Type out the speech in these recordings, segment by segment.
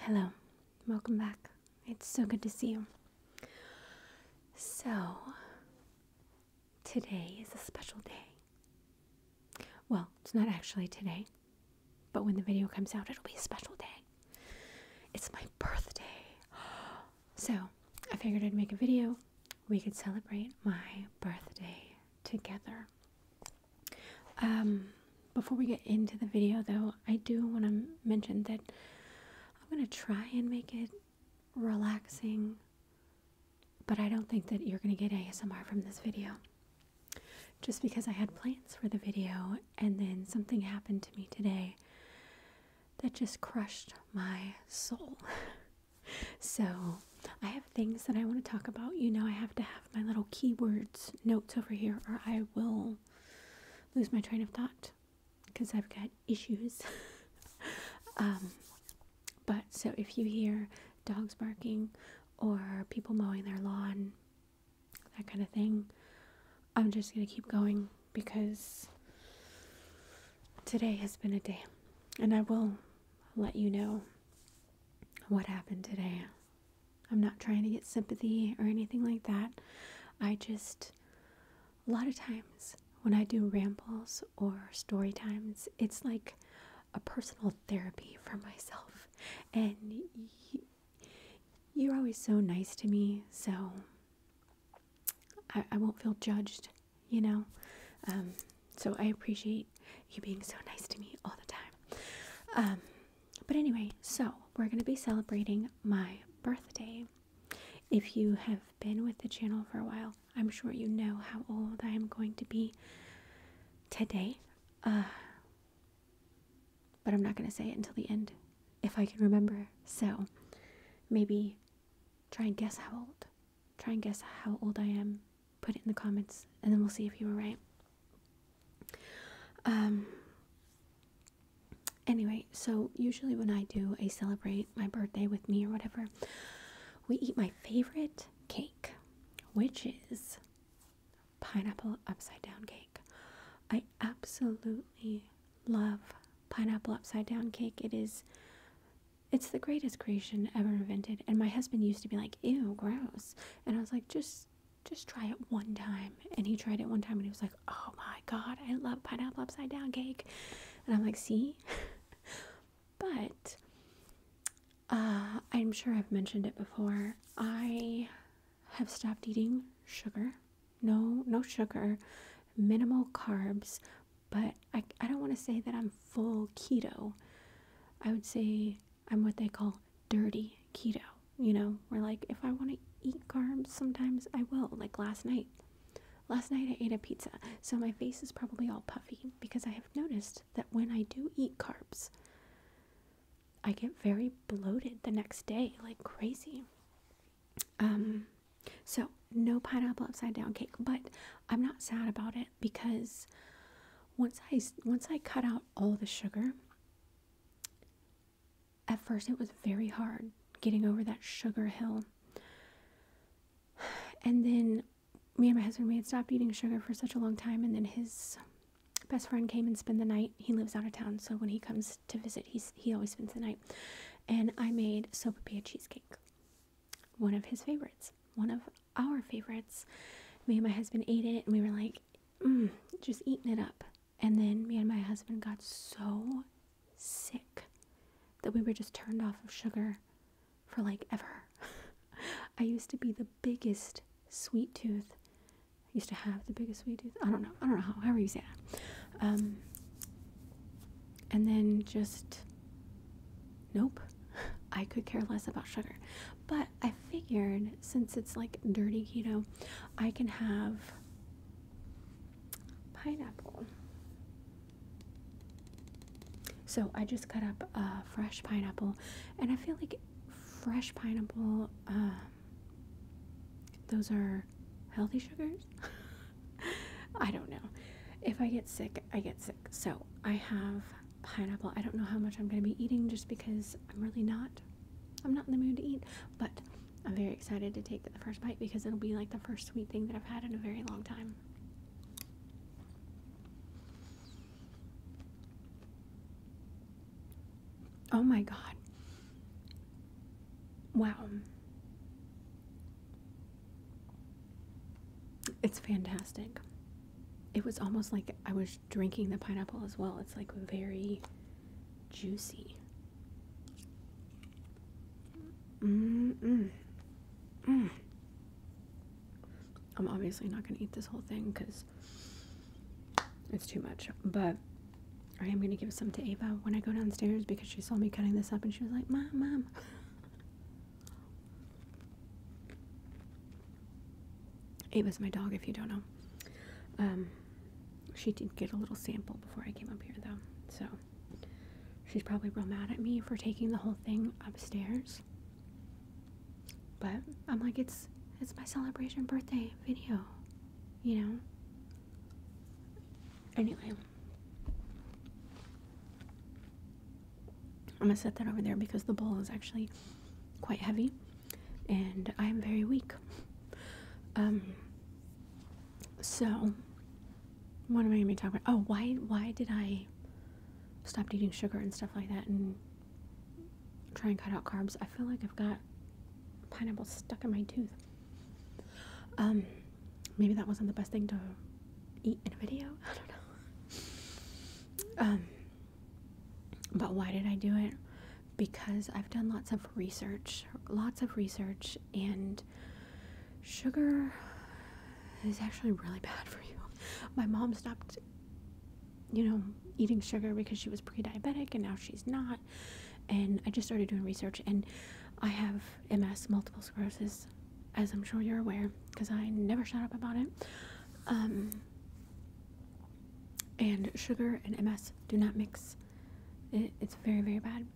Hello, welcome back. It's so good to see you. So, today is a special day. Well, it's not actually today, but when the video comes out, it'll be a special day. It's my birthday. Oh, so I figured I'd make a video. We could celebrate my birthday together. Um, before we get into the video, though, I do want to mention that I'm going to try and make it relaxing, but I don't think that you're going to get ASMR from this video. Just because I had plans for the video and then something happened to me today that just crushed my soul. so I have things that I want to talk about. You know, I have to have my little keywords notes over here, or I will lose my train of thought because I've got issues. um, but so if you hear dogs barking or people mowing their lawn, that kind of thing, I'm just going to keep going because today has been a day and I will let you know what happened today. I'm not trying to get sympathy or anything like that. I just, a lot of times when I do rambles or story times, it's like a personal therapy for myself. And you're always so nice to me, so I, I won't feel judged, you know. Um, so I appreciate you being so nice to me all the time. Um, but anyway, so we're going to be celebrating my birthday. If you have been with the channel for a while, I'm sure you know how old I am going to be today. Uh, but I'm not going to say it until the end if I can remember. So maybe try and guess how old Try and guess how old I am. Put it in the comments, and then we'll see if you were right. Um. Anyway, so usually when I do a celebrate my birthday with me or whatever, we eat my favorite cake, which is pineapple upside down cake. I absolutely love pineapple upside down cake. It is it's the greatest creation ever invented. And my husband used to be like, ew, gross. And I was like, just just try it one time. And he tried it one time and he was like, oh my God, I love pineapple upside down cake. And I'm like, see? but uh, I'm sure I've mentioned it before. I have stopped eating sugar. No, no sugar, minimal carbs, but I, I don't want to say that I'm full keto. I would say I'm what they call dirty keto. You know, where like if I want to eat carbs, sometimes I will. Like last night, last night I ate a pizza, so my face is probably all puffy because I have noticed that when I do eat carbs, I get very bloated the next day, like crazy. Um, so, no pineapple upside down cake, but I'm not sad about it because once I once I cut out all the sugar, at first it was very hard getting over that sugar hill. And then me and my husband we had stopped eating sugar for such a long time and then his best friend came and spent the night. He lives out of town, so when he comes to visit, he's he always spends the night. And I made sopapilla cheesecake one of his favorites, one of our favorites. Me and my husband ate it and we were like, mm, just eating it up. And then me and my husband got so sick that we were just turned off of sugar for like ever. I used to be the biggest sweet tooth. I used to have the biggest sweet tooth. I don't know. I don't know how. However you say that. Um, and then just nope. I could care less about sugar. But I figured since it's like dirty keto, I can have pineapple. So I just cut up a fresh pineapple, and I feel like fresh pineapple, um, those are healthy sugars. I don't know. If I get sick, I get sick. So I have pineapple. I don't know how much I'm going to be eating just because I'm really not. I'm not in the mood to eat, but I'm very excited to take the first bite because it'll be like the first sweet thing that I've had in a very long time. Oh my god. Wow. It's fantastic. It was almost like I was drinking the pineapple as well. It's like very juicy. Mm -mm. I'm obviously not going to eat this whole thing because it's too much. But I am going to give some to Ava when I go downstairs because she saw me cutting this up and she was like, Mom, Mom. Ava's my dog, if you don't know. Um, she did get a little sample before I came up here, though, so she's probably real mad at me for taking the whole thing upstairs. But I'm like, it's it's my celebration birthday video, you know. Anyway, I'm gonna set that over there because the bowl is actually quite heavy and I am very weak. Um, so what am I gonna be talking about? Oh, why why did I stop eating sugar and stuff like that and try and cut out carbs? I feel like I've got pineapple stuck in my tooth. Um maybe that wasn't the best thing to eat in a video. I don't know. Um, but why did I do it? Because I've done lots of research, lots of research, and sugar is actually really bad for you. My mom stopped, you know, eating sugar because she was pre diabetic and now she's not. And I just started doing research, and I have MS, multiple sclerosis, as I'm sure you're aware, because I never shut up about it. Um, and sugar and MS do not mix. it's very, very bad.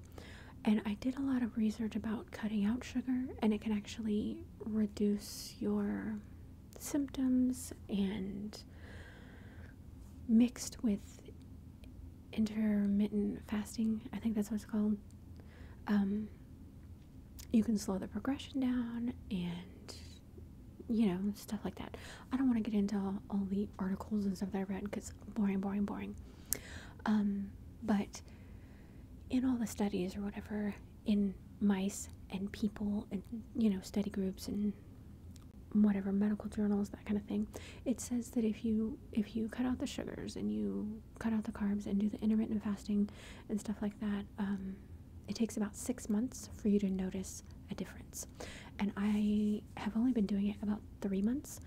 And I did a lot of research about cutting out sugar, and it can actually reduce your symptoms and mixed with intermittent fasting, I think that's what it's called. Um, you can slow the progression down and you know stuff like that. I don't want to get into all, the articles and stuff that I read because boring, boring, boring. Um, but in all the studies or whatever in mice and people and you know study groups and whatever medical journals that kind of thing it says that if you if you cut out the sugars and you cut out the carbs and do the intermittent fasting and stuff like that, um, it takes about six months for you to notice a difference. And I have only been doing it about three months,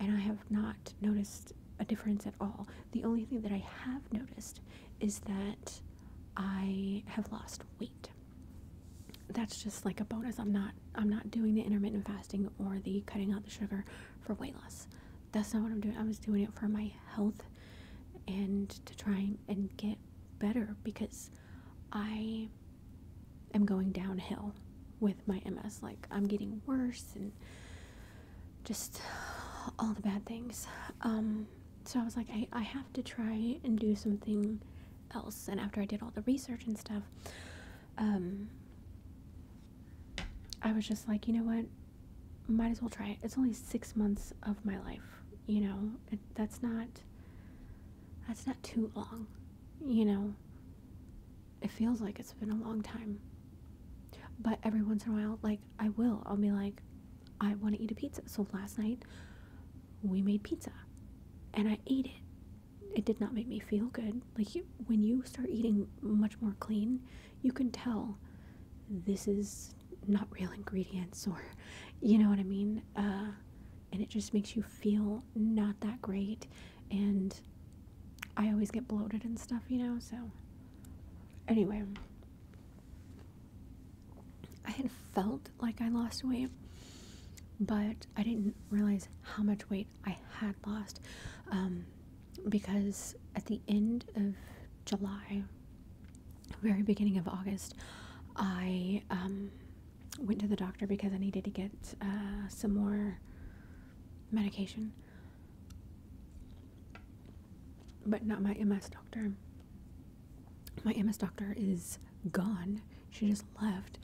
and I have not noticed a difference at all. The only thing that I have noticed is that I have lost weight. That's just like a bonus. I'm not I'm not doing the intermittent fasting or the cutting out the sugar for weight loss. That's not what I'm doing. I was doing it for my health and to try and get better because I am going downhill with my MS. Like, I'm getting worse and just all the bad things. Um, so I was like, I, I have to try and do something else. And after I did all the research and stuff, um, I was just like, you know what? Might as well try it. It's only six months of my life, you know. that's not. That's not too long, you know. It feels like it's been a long time, but every once in a while, like I will, I'll be like, I want to eat a pizza. So last night, we made pizza, and I ate it, it did not make me feel good. Like when you start eating much more clean, you can tell this is not real ingredients or you know what I mean? Uh, and it just makes you feel not that great and I always get bloated and stuff, you know, so anyway, I had felt like I lost weight, but I didn't realize how much weight I had lost um, because at the end of July, very beginning of August, I um, went to the doctor because I needed to get uh, some more medication, but not my MS doctor. My MS doctor is gone. She just left.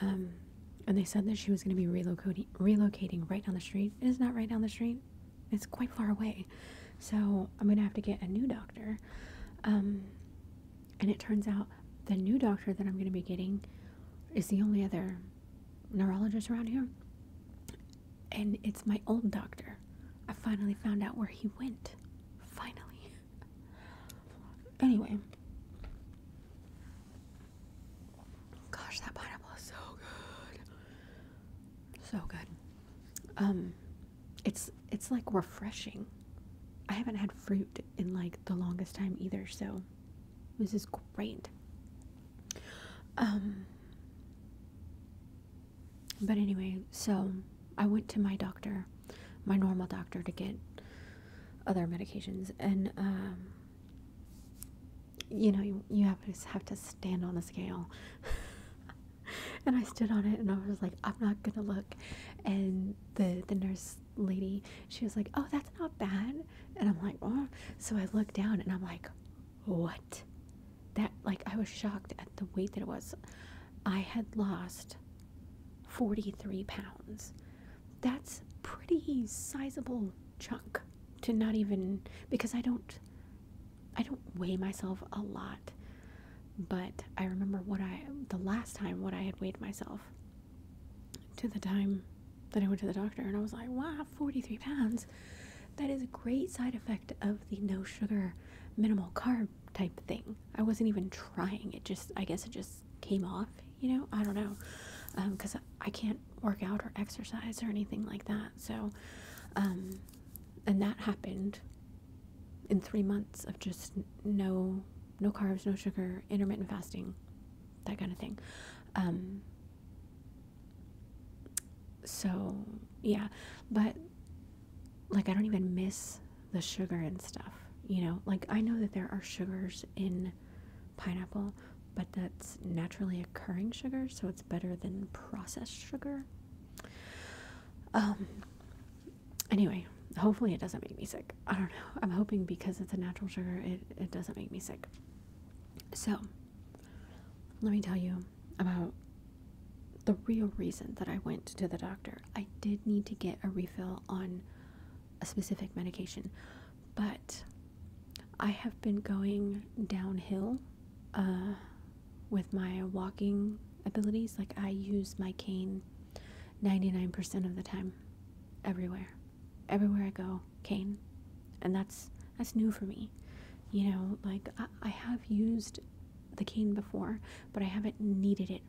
Um, and they said that she was going to be relocating relocating right down the street it is not right down the street it's quite far away so i'm going to have to get a new doctor um, and it turns out the new doctor that i'm going to be getting is the only other neurologist around here and it's my old doctor i finally found out where he went finally anyway Gosh, that pineapple is so good. So good. Um it's it's like refreshing. I haven't had fruit in like the longest time either, so this is great. Um but anyway, so I went to my doctor, my normal doctor to get other medications and um you know, you, have to have to stand on the scale. and I stood on it, and I was like, I'm not gonna look. And the the nurse lady, she was like, Oh, that's not bad. And I'm like, Oh. So I looked down, and I'm like, What? That like I was shocked at the weight that it was. I had lost 43 pounds that's pretty sizable chunk to not even because I don't I don't weigh myself a lot. But I remember what I the last time what I had weighed myself to the time that I went to the doctor and I was like, wow, 43 pounds. That is a great side effect of the no sugar, minimal carb type thing. I wasn't even trying. It just I guess it just came off, you know? I don't know. Because um, I can't work out or exercise or anything like that. So, um, and that happened in three months of just no no carbs, no sugar, intermittent fasting, that kind of thing. Um, so yeah, but like I don't even miss the sugar and stuff. You know, like I know that there are sugars in pineapple, but that's naturally occurring sugar, so it's better than processed sugar. Um, anyway, hopefully it doesn't make me sick. I don't know. I'm hoping because it's a natural sugar, it, it doesn't make me sick. So, let me tell you about the real reason that I went to the doctor. I did need to get a refill on a specific medication but I have been going downhill uh, with my walking abilities. Like, I use my cane 99% of the time, everywhere. Everywhere I go, cane. And that's, that's new for me. You know, like, I have used the cane before, but I haven't needed it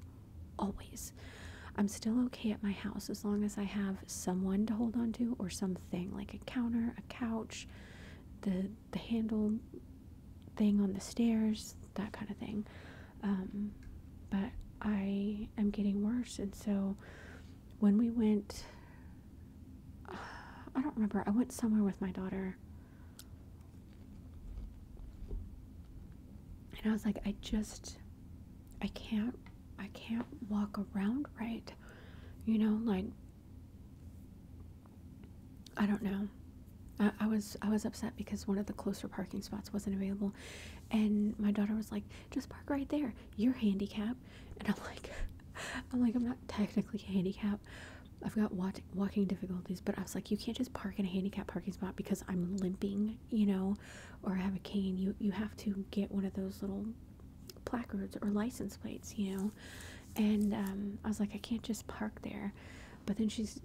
always. I'm still okay at my house as long as I have someone to hold on to or something like a counter, a couch, the the handle thing on the stairs, that kind of thing. Um, but I am getting worse, and so when we went, I don't remember. I went somewhere with my daughter. And I was like, I just I can't I can't walk around right. You know, like I don't know. I, was I was upset because one of the closer parking spots wasn't available and my daughter was like, just park right there. You're handicapped and I'm like I'm like I'm not technically handicapped. I've got walking difficulties, but I was like, you can't just park in a handicap parking spot because I'm limping you know, or have a cane, you you have to get one of those little placards or license plates, you know. And um, I was like, I can't just park there. But then she's,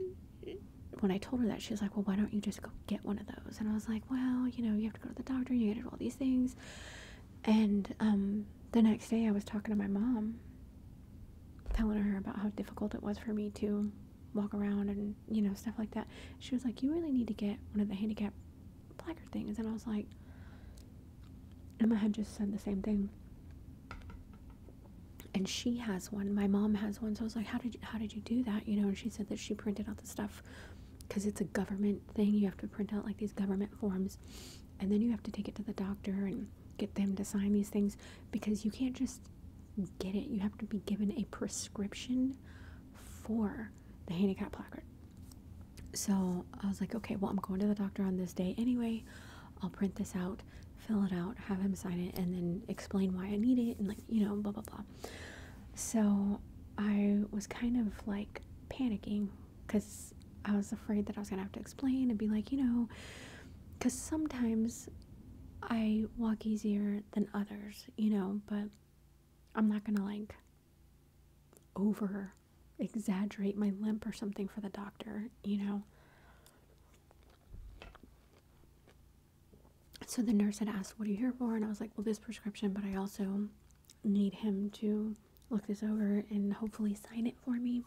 when I told her that, she was like, Well, why don't you just go get one of those? And I was like, Well, you know, you have to go to the doctor, and you get all these things. And um, the next day, I was talking to my mom, telling her about how difficult it was for me to walk around and, you know, stuff like that. She was like, You really need to get one of the handicap blacker things. And I was like, Emma had just said the same thing. And she has one. My mom has one. So I was like, how did how did you do that? You know, and she said that she printed out the stuff because it's a government thing. You have to print out like these government forms, and then you have to take it to the doctor and get them to sign these things because you can't just get it. You have to be given a prescription for the handicap placard. So I was like, okay, well, I'm going to the doctor on this day anyway. I'll print this out, fill it out, have him sign it, and then explain why I need it, and like, you know, blah, blah, blah. So I was kind of like panicking because I was afraid that I was going to have to explain and be like, you know, because sometimes I walk easier than others, you know, but I'm not going to like over exaggerate my limp or something for the doctor, you know. So the nurse had asked, What are you here for? And I was like, Well, this prescription, but I also need him to look this over and hopefully sign it for me.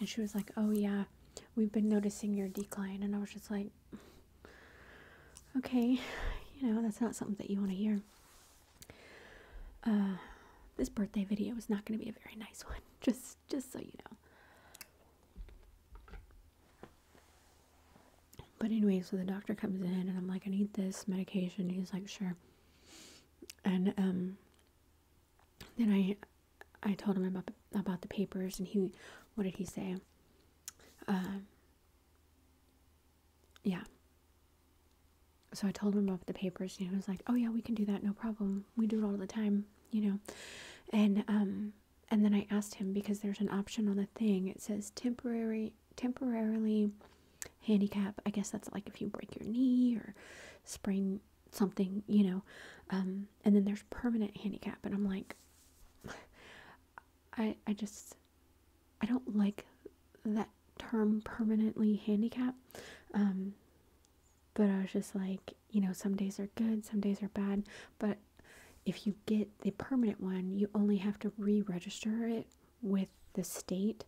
And she was like, Oh, yeah, we've been noticing your decline. And I was just like, okay, you know, that's not something that you want to hear. Uh, this birthday video is not going to be a very nice one, just, just so you know. But anyway, so the doctor comes in and I'm like, I need this medication. He's like, sure. And um, then I, I told him about about the papers, and he, what did he say? Um. Yeah. So I told him about the papers, and he was like, "Oh yeah, we can do that, no problem. We do it all the time, you know." And um, and then I asked him because there's an option on the thing. It says temporary, temporarily handicap. I guess that's like if you break your knee or sprain something, you know. Um, and then there's permanent handicap, and I'm like, I I just I don't like that term permanently handicapped. Um, but I was just like, you know, some days are good, some days are bad. But if you get the permanent one, you only have to re register it with the state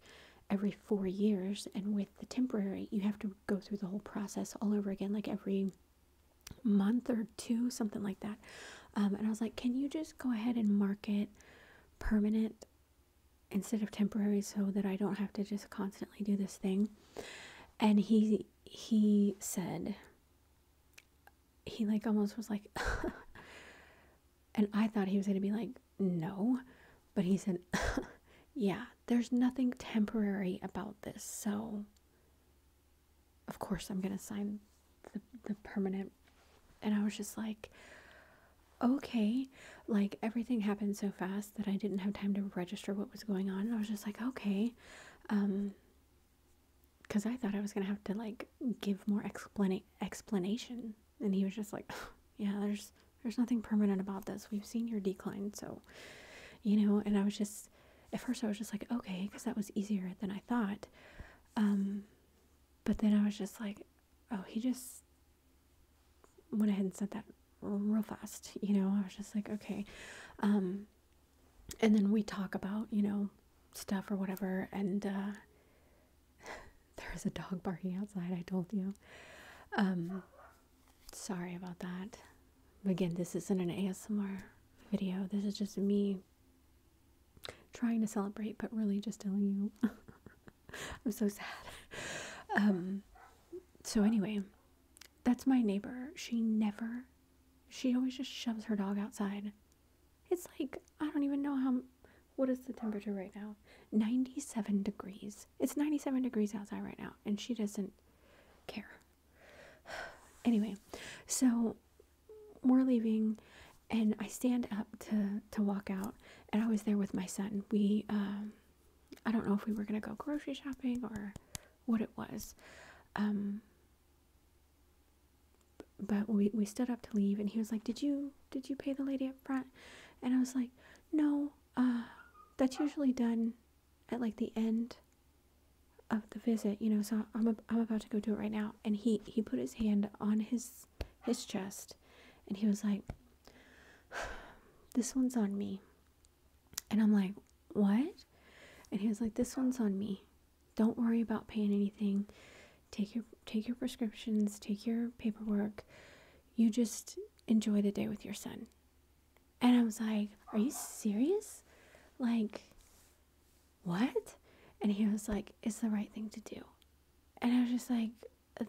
every four years. And with the temporary, you have to go through the whole process all over again, like every month or two, something like that. Um, and I was like, can you just go ahead and mark it permanent instead of temporary so that I don't have to just constantly do this thing? And he he said he like almost was like and I thought he was gonna be like, no, but he said yeah, there's nothing temporary about this, so of course I'm gonna sign the, the permanent. And I was just like, okay, like everything happened so fast that I didn't have time to register what was going on. And I was just like, okay, um, because I thought I was gonna have to like give more explain explanation. And he was just like, yeah, there's there's nothing permanent about this. We've seen your decline, so you know. And I was just at first I was just like, okay, because that was easier than I thought. Um, but then I was just like, oh, he just went ahead and said that real fast. You know, I was just like, okay. Um, and then we talk about, you know, stuff or whatever. And uh, there is a dog barking outside, I told you. Um, sorry about that. Again, this isn't an ASMR video. This is just me trying to celebrate, but really just telling you I'm so sad. Um, so, anyway, that's my neighbor. She never, she always just shoves her dog outside. It's like, I don't even know how, what is the temperature right now? 97 degrees. It's 97 degrees outside right now, and she doesn't care. anyway, so we're leaving and i stand up to to walk out and i was there with my son we um, i don't know if we were going to go grocery shopping or what it was um, but we, we stood up to leave and he was like did you did you pay the lady up front and i was like no uh, that's usually done at like the end of the visit, you know, so I'm, a, I'm about to go do it right now. And he, he put his hand on his, his chest and he was like, this one's on me. And I'm like, what? And he was like, this one's on me. Don't worry about paying anything. Take your, take your prescriptions, take your paperwork. You just enjoy the day with your son. And I was like, are you serious? Like, what? And he was like, it's the right thing to do. And I was just like,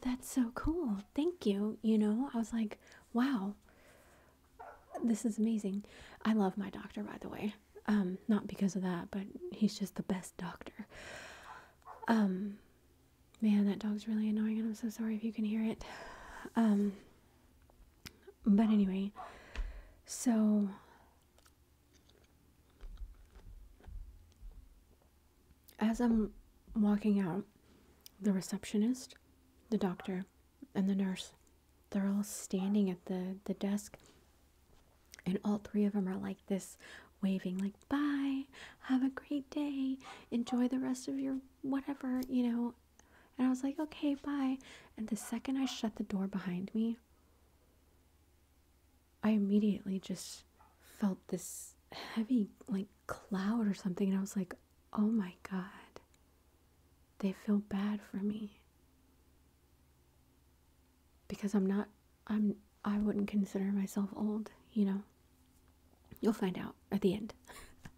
that's so cool. Thank you. You know, I was like, wow, this is amazing. I love my doctor, by the way. Um, not because of that, but he's just the best doctor. Um, man, that dog's really annoying, and I'm so sorry if you can hear it. Um, but anyway, so as I'm walking out, the receptionist, the doctor, and the nurse, they're all standing at the, the desk. And all three of them are like this, waving, like, bye, have a great day, enjoy the rest of your whatever, you know. And I was like, okay, bye. And the second I shut the door behind me, I immediately just felt this heavy, like, cloud or something, and I was like, oh my God, they feel bad for me. Because I'm not, I'm, I wouldn't consider myself old, you know? You'll find out at the end.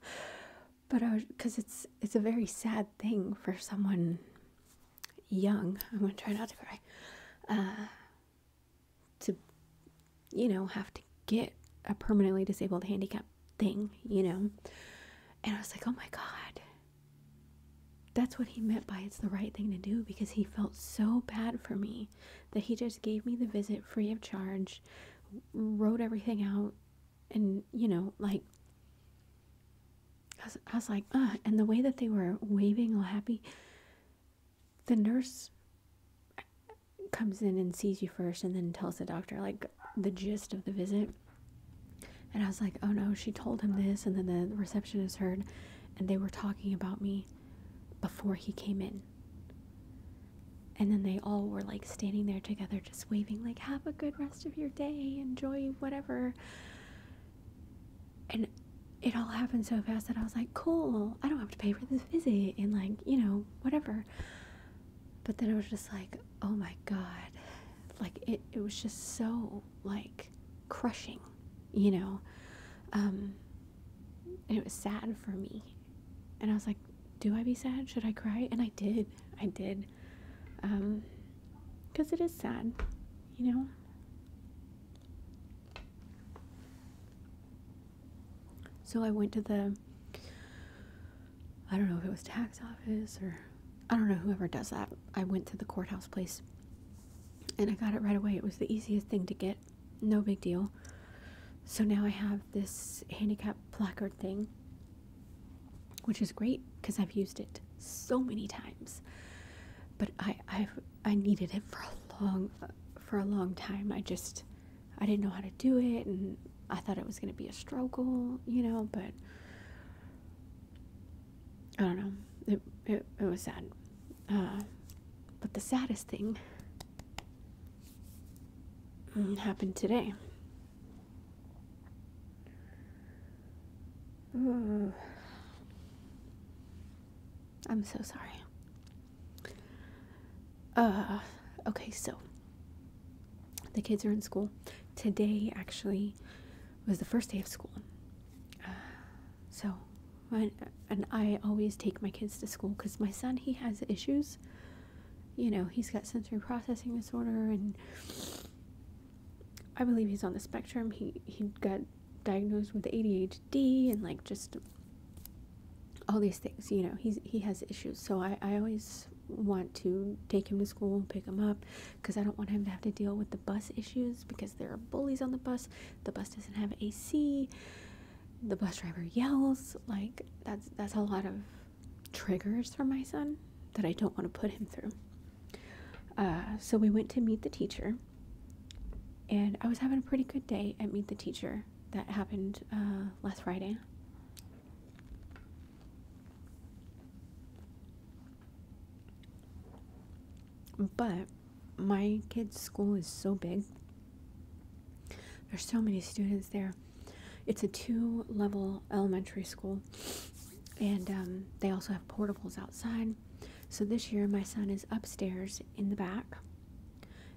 but I was, because it's, it's a very sad thing for someone young, I'm going to try not to cry, uh, to, you know, have to get a permanently disabled handicap thing, you know. And I was like, oh my God. That's what he meant by it's the right thing to do because he felt so bad for me that he just gave me the visit free of charge, wrote everything out, and, you know, like I was, like, uh, and the way that they were waving all happy, the nurse comes in and sees you first and then tells the doctor, like, the gist of the visit. And I was like, oh no, she told him this. And then the receptionist heard, and they were talking about me before he came in. And then they all were like standing there together, just waving, like, have a good rest of your day, enjoy whatever and it all happened so fast that I was like, cool, I don't have to pay for this visit and like, you know, whatever. But then I was just like, oh my God. Like it, it was just so like crushing, you know. Um and it was sad for me. And I was like, do I be sad? Should I cry? And I did. I did. Um because it is sad, you know? So I went to the, I don't know if it was tax office or, I don't know, whoever does that. I went to the courthouse place and I got it right away. It was the easiest thing to get, no big deal. So now I have this handicap placard thing which is great because I've used it so many times. But I i I needed it for a long for a long time. I just I didn't know how to do it and I thought it was going to be a struggle, you know, but I don't know. It it, it was sad. Uh, but the saddest thing happened today. I'm so sorry. Uh, okay, so the kids are in school. Today, actually, was the first day of school. Uh, so, and I always take my kids to school because my son, he has issues. You know, he's got sensory processing disorder and I believe he's on the spectrum. He he got diagnosed with ADHD and like just all these things. You know, he's he has issues. So I I always want to take him to school, and pick him up, because I don't want him to have to deal with the bus issues because there are bullies on the bus. The bus doesn't have AC. The bus driver yells. Like that's that's a lot of triggers for my son that I don't want to put him through. Uh, so we went to meet the teacher, and I was having a pretty good day at Meet the Teacher. That happened uh, last Friday. But my kid's school is so big. There's so many students there. It's a two level elementary school and um, they also have portables outside. So this year, my son is upstairs in the back,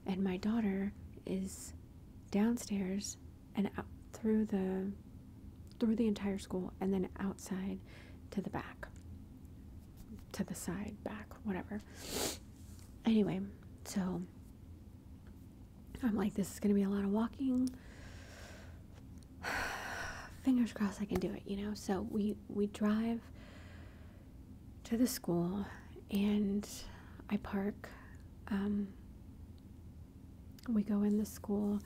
and my daughter is downstairs and out through the through the entire school, and then outside to the back, to the side, back, whatever. Anyway, so I'm like, this is gonna be a lot of walking. fingers crossed I can do it, you know. So we we drive to the school and I park. Um, we go in the school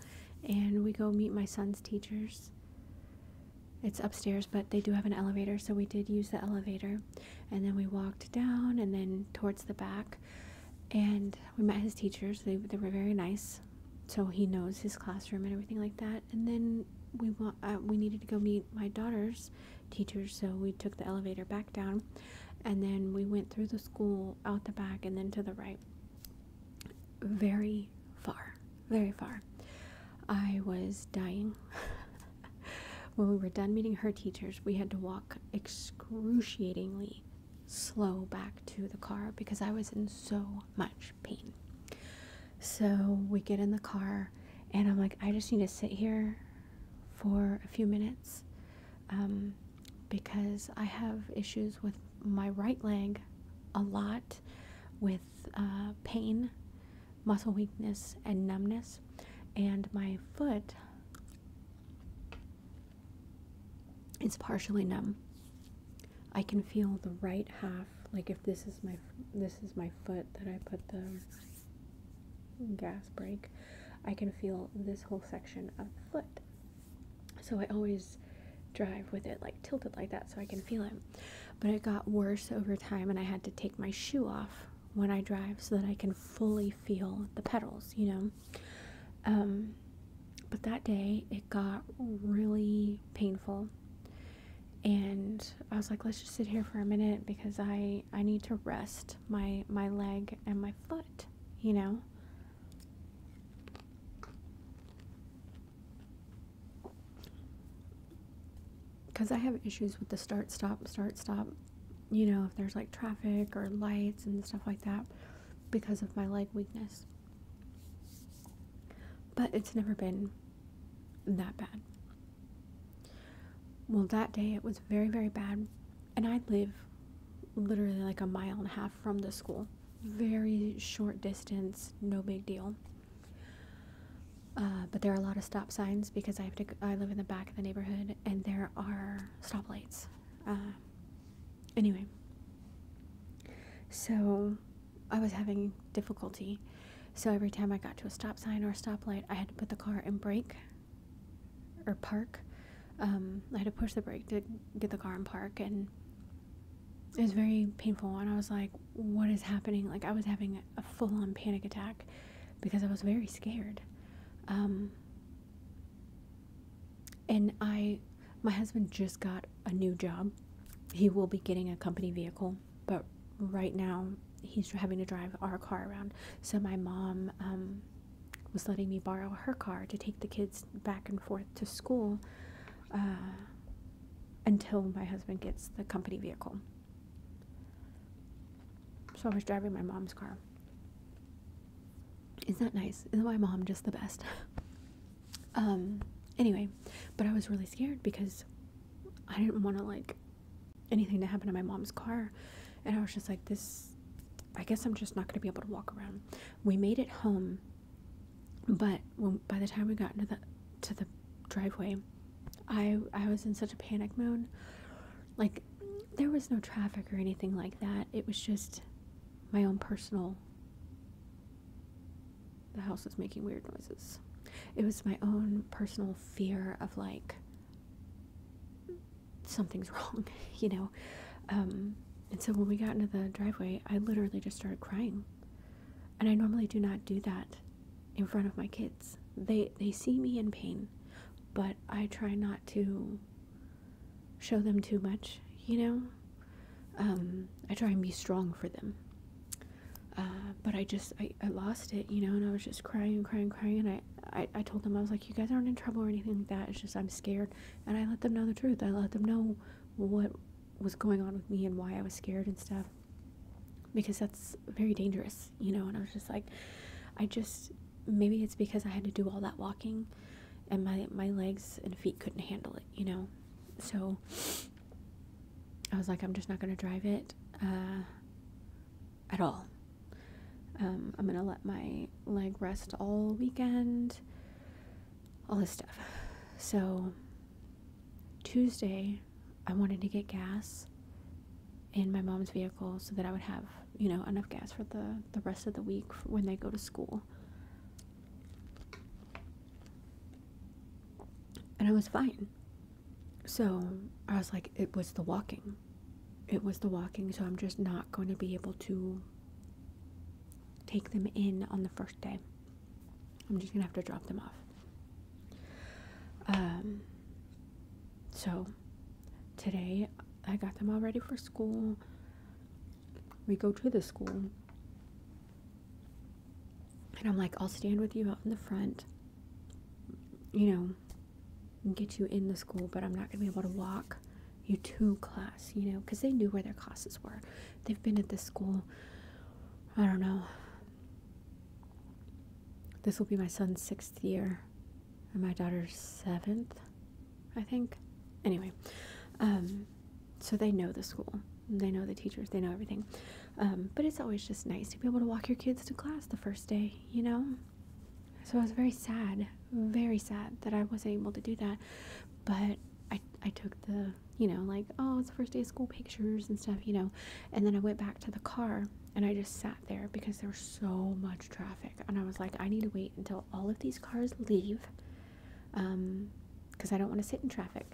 and we go meet my son's teachers. It's upstairs, but they do have an elevator, so we did use the elevator. And then we walked down and then towards the back. And we met his teachers. They they were very nice, so he knows his classroom and everything like that. And then we uh, we needed to go meet my daughter's teachers, so we took the elevator back down, and then we went through the school out the back and then to the right. Very far, very far. I was dying. when we were done meeting her teachers, we had to walk excruciatingly slow back to the car because I was in so much pain. So we get in the car, and I'm like, I just need to sit here for a few minutes um, because I have issues with my right leg a lot with uh, pain, muscle weakness, and numbness, and my foot it's partially numb. I can feel the right half, like if this is my this is my foot that I put the gas brake, I can feel this whole section of the foot. So I always drive with it like tilted like that so I can feel it. But it got worse over time and I had to take my shoe off when I drive so that I can fully feel the pedals, you know. Um, but that day it got really painful, and I was like, let's just sit here for a minute because I I need to rest my my leg and my foot, you know. Because I have issues with the start, stop, start, stop, you know, if there's like traffic or lights and stuff like that because of my leg weakness. But it's never been that bad. Well, that day it was very, very bad. And I live literally like a mile and a half from the school. Very short distance, no big deal. Uh, but there are a lot of stop signs because I have to. I live in the back of the neighborhood, and there are stoplights uh, anyway, so I was having difficulty. So every time I got to a stop sign or a stoplight, I had to put the car in brake or park. Um, I had to push the brake to get the car in park, and it was very painful. And I was like, "What is happening?" Like I was having a full-on panic attack because I was very scared. Um, and I, my husband just got a new job. He will be getting a company vehicle, but right now he's having to drive our car around. So my mom um, was letting me borrow her car to take the kids back and forth to school uh, until my husband gets the company vehicle. So I was driving my mom's car. Isn't that nice? Isn't my mom just the best? Um, anyway, but I was really scared because I didn't want to like anything to happen to my mom's car. And I was just like, this, I guess I'm just not going to be able to walk around. We made it home, but by the time we got into the, to the driveway, I, I was in such a panic mode. Like, there was no traffic or anything like that. It was just my own personal. The house was making weird noises. It was my own personal fear of like something's wrong, you know. Um, and so when we got into the driveway, I literally just started crying. And I normally do not do that in front of my kids. They they see me in pain, but I try not to show them too much, you know? Um, I try and be strong for them. Uh, but I just, I, I lost it, you know, and I was just crying and crying and crying. And I, I, I told them, I was like, you guys aren't in trouble or anything like that. It's just, I'm scared. And I let them know the truth. I let them know what was going on with me and why I was scared and stuff. Because that's very dangerous, you know. And I was just like, I just, maybe it's because I had to do all that walking and my my legs and feet couldn't handle it, you know. So I was like, I'm just not going to drive it uh, at all. Um, I'm going to let my leg rest all weekend, all this stuff. So Tuesday, I wanted to get gas in my mom's vehicle so that I would have, you know, enough gas for the, the rest of the week when they go to school. And I was fine. So I was like, it was the walking. It was the walking, so I'm just not going to be able to take them in on the first day. I'm just going to have to drop them off. Um, so today I got them all ready for school we go to the school and i'm like i'll stand with you out in the front you know and get you in the school but i'm not going to be able to walk you to class you know because they knew where their classes were they've been at this school i don't know this will be my son's sixth year and my daughter's seventh I think. Anyway, um, so they know the school, they know the teachers, they know everything. Um, but it's always just nice to be able to walk your kids to class the first day, you know? So I was very sad, very sad that I wasn't able to do that. But I, I took the, you know, like, oh, it's the first day of school pictures and stuff, you know. And then I went back to the car and I just sat there because there was so much traffic. And I was like, I need to wait until all of these cars leave because um, I don't want to sit in traffic,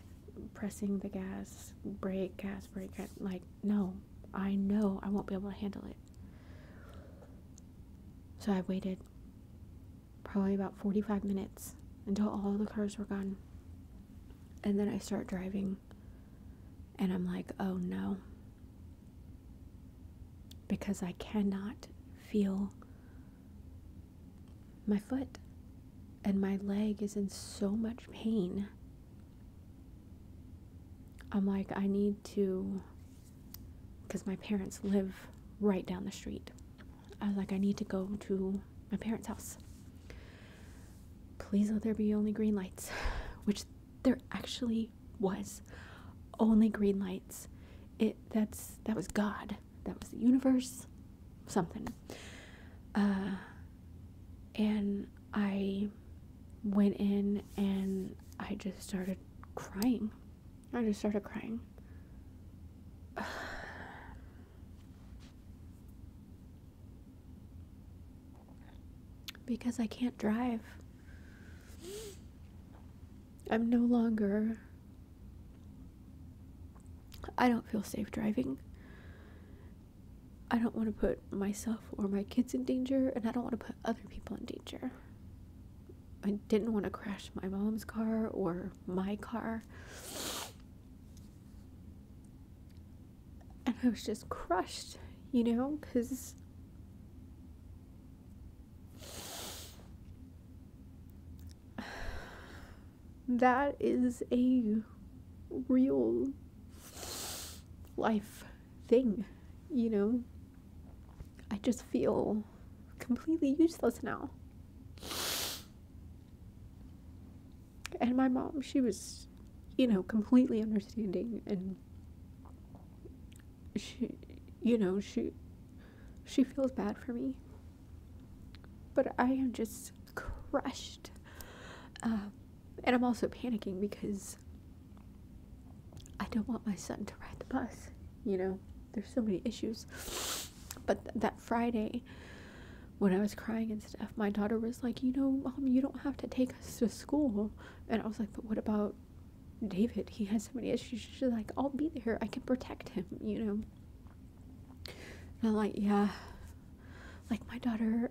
pressing the gas, brake, gas, brake. like, no, I know I won't be able to handle it. So I waited probably about 45 minutes until all the cars were gone. And then I start driving, and I'm like, oh no. Because I cannot feel my foot and my leg is in so much pain. I'm like, I need to, because my parents live right down the street. I was like, I need to go to my parents' house. Please let there be only green lights, which there actually was only green lights it that's that was God, that was the universe, something. Uh, and I went in and I just started crying. I just started crying. because I can't drive. I'm no longer. I don't feel safe driving. I don't want to put myself or my kids in danger, and I don't want to put other people in danger. I didn't want to crash my mom's car or my car. And I was just crushed, you know, because that is a real life thing, you know? I just feel completely useless now. And my mom, she was, you know, completely understanding and she, you know, she she feels bad for me. But I am just crushed. Um, and I'm also panicking because I don't want my son to ride the bus. You know, there's so many issues. But that Friday, when I was crying and stuff, my daughter was like, You know, mom, you don't have to take us to school. And I was like, But what about David, he has so many issues. She's like, I'll be there. I can protect him, you know. And I'm like, yeah. Like, my daughter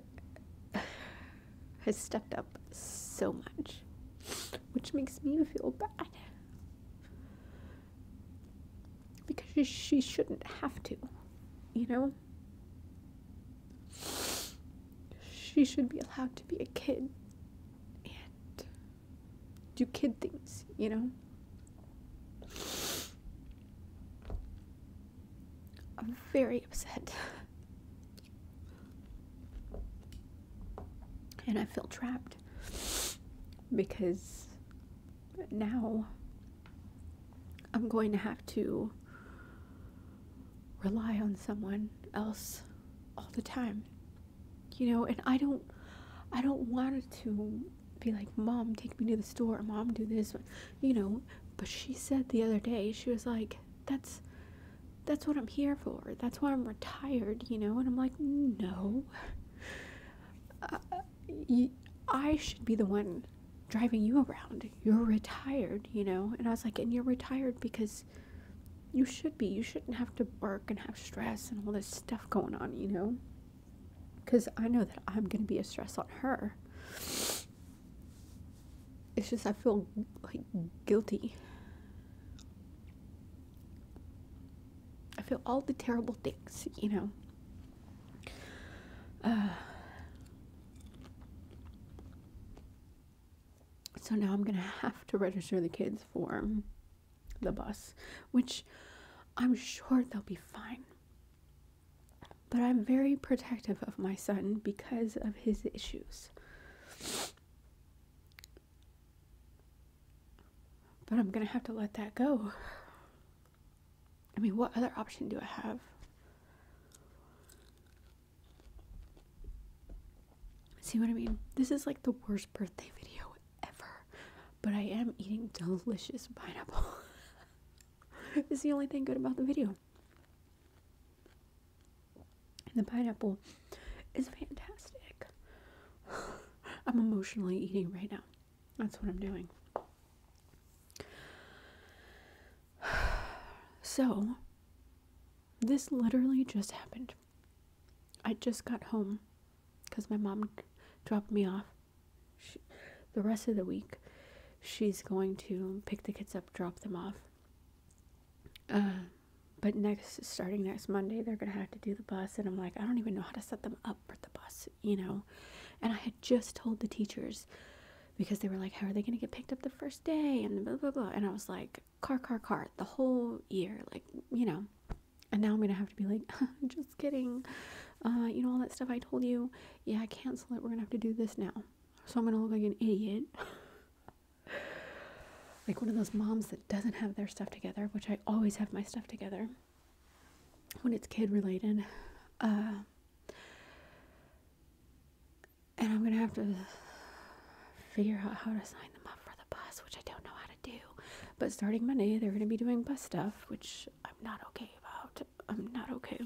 has stepped up so much, which makes me feel bad. Because she, she shouldn't have to, you know? She should be allowed to be a kid and do kid things, you know? I'm very upset. And I feel trapped because now I'm going to have to rely on someone else all the time you know and i don't i don't want to be like mom take me to the store mom do this you know but she said the other day she was like that's that's what i'm here for that's why i'm retired you know and i'm like no uh, i should be the one driving you around you're retired you know and i was like and you're retired because you should be. You shouldn't have to work and have stress and all this stuff going on, you know? Because I know that I'm going to be a stress on her. It's just I feel like guilty. I feel all the terrible things, you know? so now I'm going to have to register the kids for the bus, which I'm sure they'll be fine. But I'm very protective of my son because of his issues. But I'm gonna have to let that go. I mean, what other option do I have? See what I mean? This is like the worst birthday video ever, but I am eating delicious pineapple. it's the only thing good about the video. the pineapple is fantastic. I'm emotionally eating right now. That's what I'm doing. So, this literally just happened. I just got home because my mom dropped me off. the rest of the week, she's going to pick the kids up, drop them off. Uh, but next, starting next Monday, they're going to have to do the bus. And I'm like, I don't even know how to set them up for the bus, you know. And I had just told the teachers because they were like, How are they going to get picked up the first day? And blah, blah, blah. And I was like, car car car the whole year like you know and now i'm gonna have to be like just kidding uh you know all that stuff i told you yeah cancel it we're gonna have to do this now so i'm gonna look like an idiot like one of those moms that doesn't have their stuff together which i always have my stuff together when it's kid related uh and i'm gonna have to figure out how to sign them up for bus, which I don't know how to do. But starting Monday, they're going to be doing bus stuff, which I'm not okay about. I'm not okay.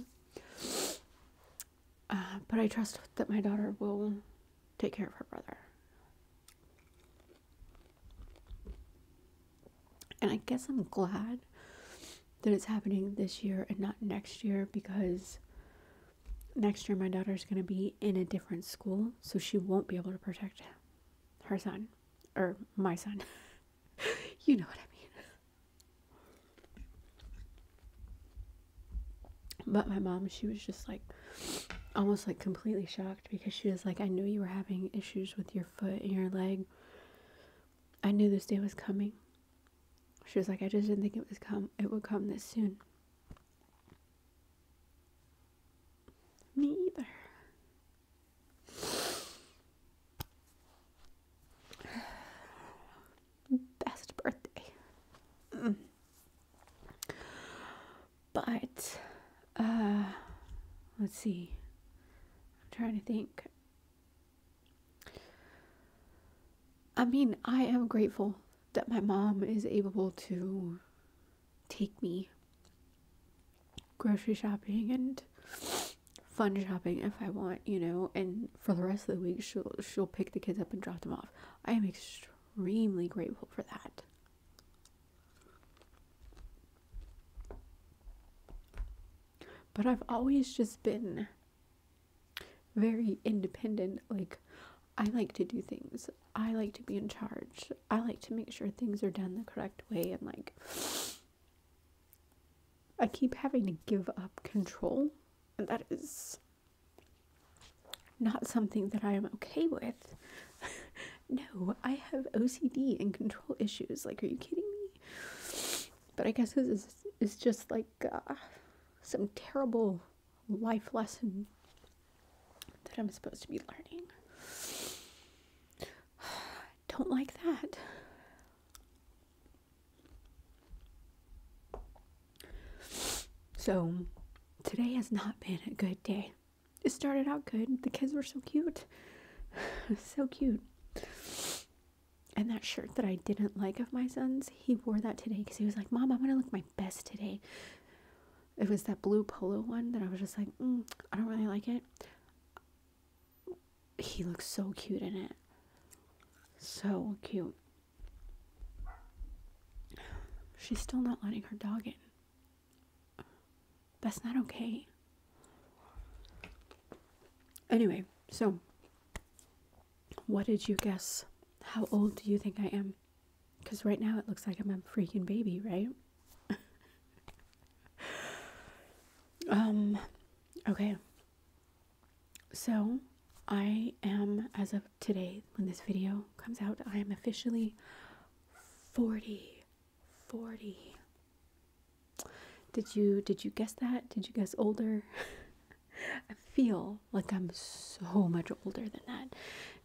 Uh, but I trust that my daughter will take care of her brother. And I guess I'm glad that it's happening this year and not next year because next year my daughter's going to be in a different school so she won't be able to protect her son or my son. you know what I mean. But my mom, she was just like almost like completely shocked because she was like, I knew you were having issues with your foot and your leg. I knew this day was coming. She was like, I just didn't think it was come it would come this soon. Me either. Best birthday. But, uh, let's see. I'm trying to think. I mean, I am grateful that my mom is able to take me grocery shopping and fun shopping if I want, you know, and for the rest of the week she'll she'll pick the kids up and drop them off. I am extremely grateful for that. But I've always just been very independent. Like I like to do things. I like to be in charge. I like to make sure things are done the correct way and like I keep having to give up control and that is not something that I am okay with. no, I have OCD and control issues. Like, are you kidding me? But I guess this is, just like uh, some terrible life lesson that I'm supposed to be learning. Don't like that. So, today has not been a good day. It started out good. The kids were so cute. so cute. And that shirt that I didn't like of my son's, he wore that today because he was like, Mom, I'm going to look my best today it was that blue polo one that I was just like, mm, I don't really like it. He looks so cute in it. So cute. She's still not letting her dog in. That's not okay. Anyway, so what did you guess? How old do you think I am? Because right now it looks like I'm a freaking baby, right? um, okay. So I am, as of today, when this video comes out, I am officially 40. 40. Did you did you guess that? Did you guess older? I feel like I'm so much older than that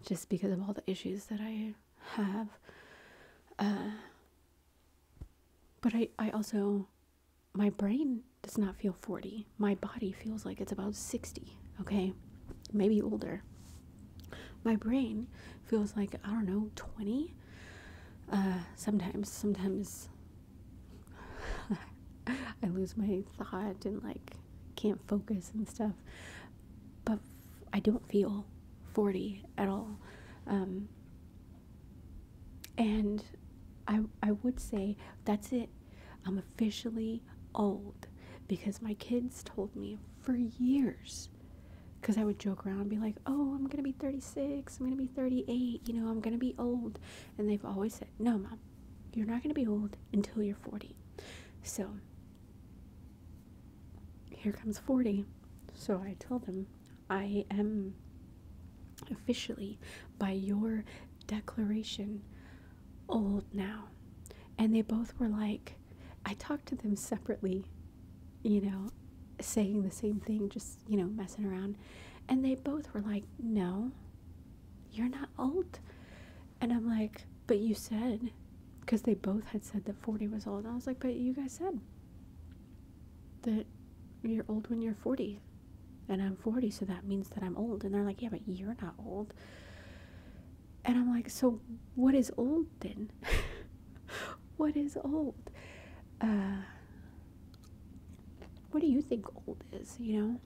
just because of all the issues that I have. Uh, but I, I also, my brain does not feel 40. My body feels like it's about 60, okay? Maybe older. My brain feels like, I don't know, 20. Uh, sometimes, sometimes I lose my thought and like can't focus and stuff. But I don't feel 40 at all. Um, and I, I would say that's it. I'm officially old because my kids told me for years because I would joke around and be like, oh, I'm going to be 36, I'm going to be 38, you know, I'm going to be old. And they've always said, no, mom, you're not going to be old until you're 40. So here comes 40. So I told them, I am officially, by your declaration, old now. And they both were like, I talked to them separately, you know, saying the same thing, just, you know, messing around. And they both were like, No, you're not old. And I'm like, but you said, because they both had said that 40 was old. And I was like, but you guys said that you're old when you're 40. And I'm 40, so that means that I'm old. And they're like, yeah, but you're not old. And I'm like, so what is old then? what is old? Uh, what do you think old is, you know?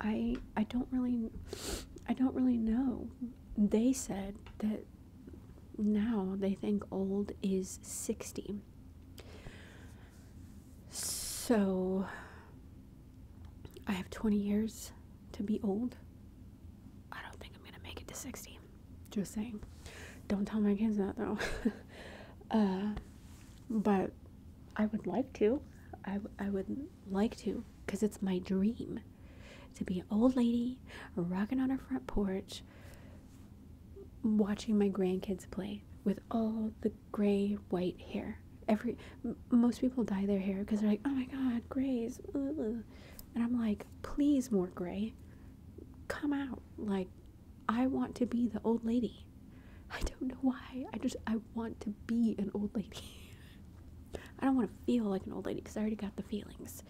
I I don't really I don't really know. They said that now they think old is 60. So I have 20 years to be old. I don't think I'm going to make it to 60. Just saying. Don't tell my kids that though. Uh, but I would like to. I, I would like to because it's my dream to be an old lady rocking on her front porch watching my grandkids play with all the gray white hair. Every most people dye their hair because they're like, "Oh my god, grays." And I'm like, "Please more gray. Come out. Like I want to be the old lady I don't know why. I just I want to be an old lady. I don't want to feel like an old lady because I already got the feelings.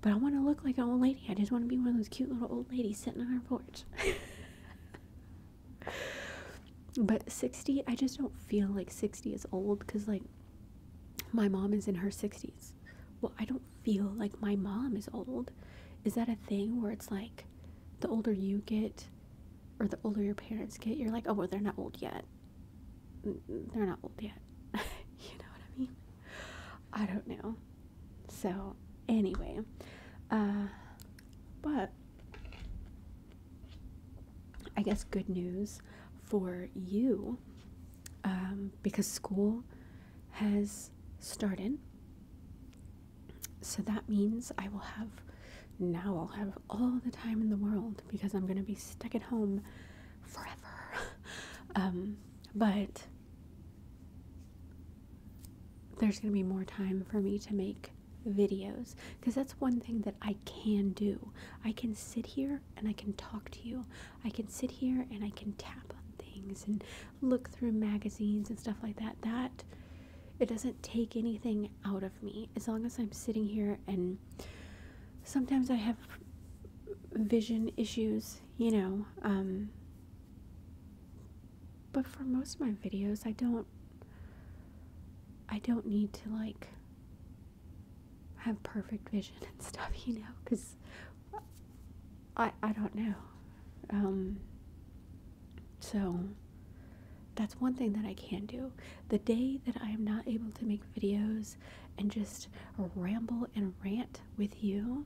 But I want to look like an old lady. I just want to be one of those cute little old ladies sitting on her porch. but 60, I just don't feel like 60 is old because, like, my mom is in her 60s. Well, I don't feel like my mom is old. Is that a thing where it's like the older you get, or the older your parents get, you're like, oh, well, they're not old yet. They're not old yet. you know what I mean? I don't know. So, anyway, uh, but I guess good news for you um, because school has started so that means I will have now I'll have all the time in the world because I'm going to be stuck at home forever. Um, but there's going to be more time for me to make videos because that's one thing that I can do. I can sit here and I can talk to you. I can sit here and I can tap on things and look through magazines and stuff like that. That it doesn't take anything out of me as long as I'm sitting here and sometimes I have vision issues, you know. Um, but for most of my videos, I don't. I don't need to like have perfect vision and stuff, you know, because I I don't know. Um, so that's one thing that I can do. The day that I am not able to make videos and just ramble and rant with you,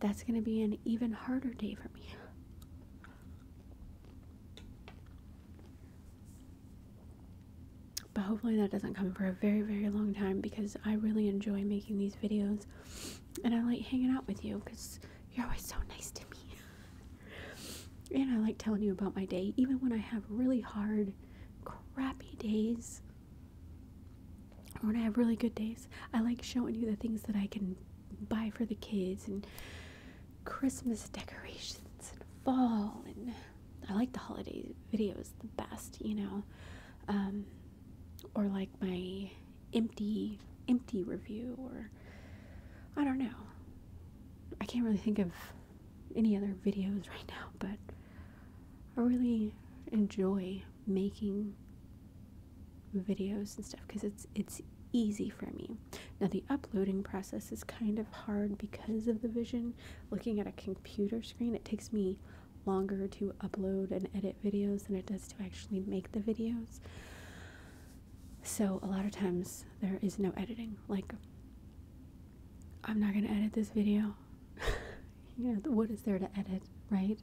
that's going to be an even harder day for me. But hopefully that doesn't come for a very, very long time because I really enjoy making these videos and I like hanging out with you because you're always so nice to me. And I like telling you about my day, even when I have really hard, crappy days, or when I have really good days. I like showing you the things that I can buy for the kids and Christmas decorations and fall. And I like the holiday videos the best, you know. Um, or like my empty empty review or I don't know. I can't really think of any other videos right now, but I really enjoy making videos and stuff because it's it's easy for me. Now the uploading process is kind of hard because of the vision. Looking at a computer screen, it takes me longer to upload and edit videos than it does to actually make the videos. So a lot of times there is no editing. Like, I'm not going to edit this video. you know, what is there to edit, right?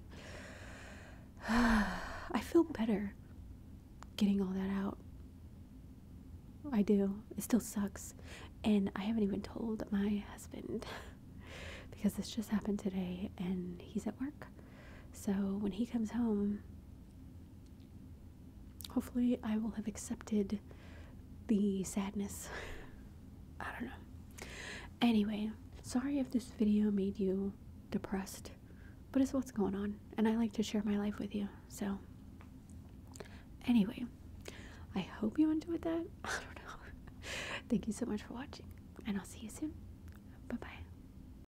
I feel better getting all that out. I do. It still sucks. And I haven't even told my husband because this just happened today and he's at work. So when he comes home, Hopefully, I will have accepted the sadness. I don't know. Anyway, sorry if this video made you depressed, but it's what's going on, and I like to share my life with you. So, anyway, I hope you enjoyed that. I don't know. Thank you so much for watching, and I'll see you soon. Bye bye.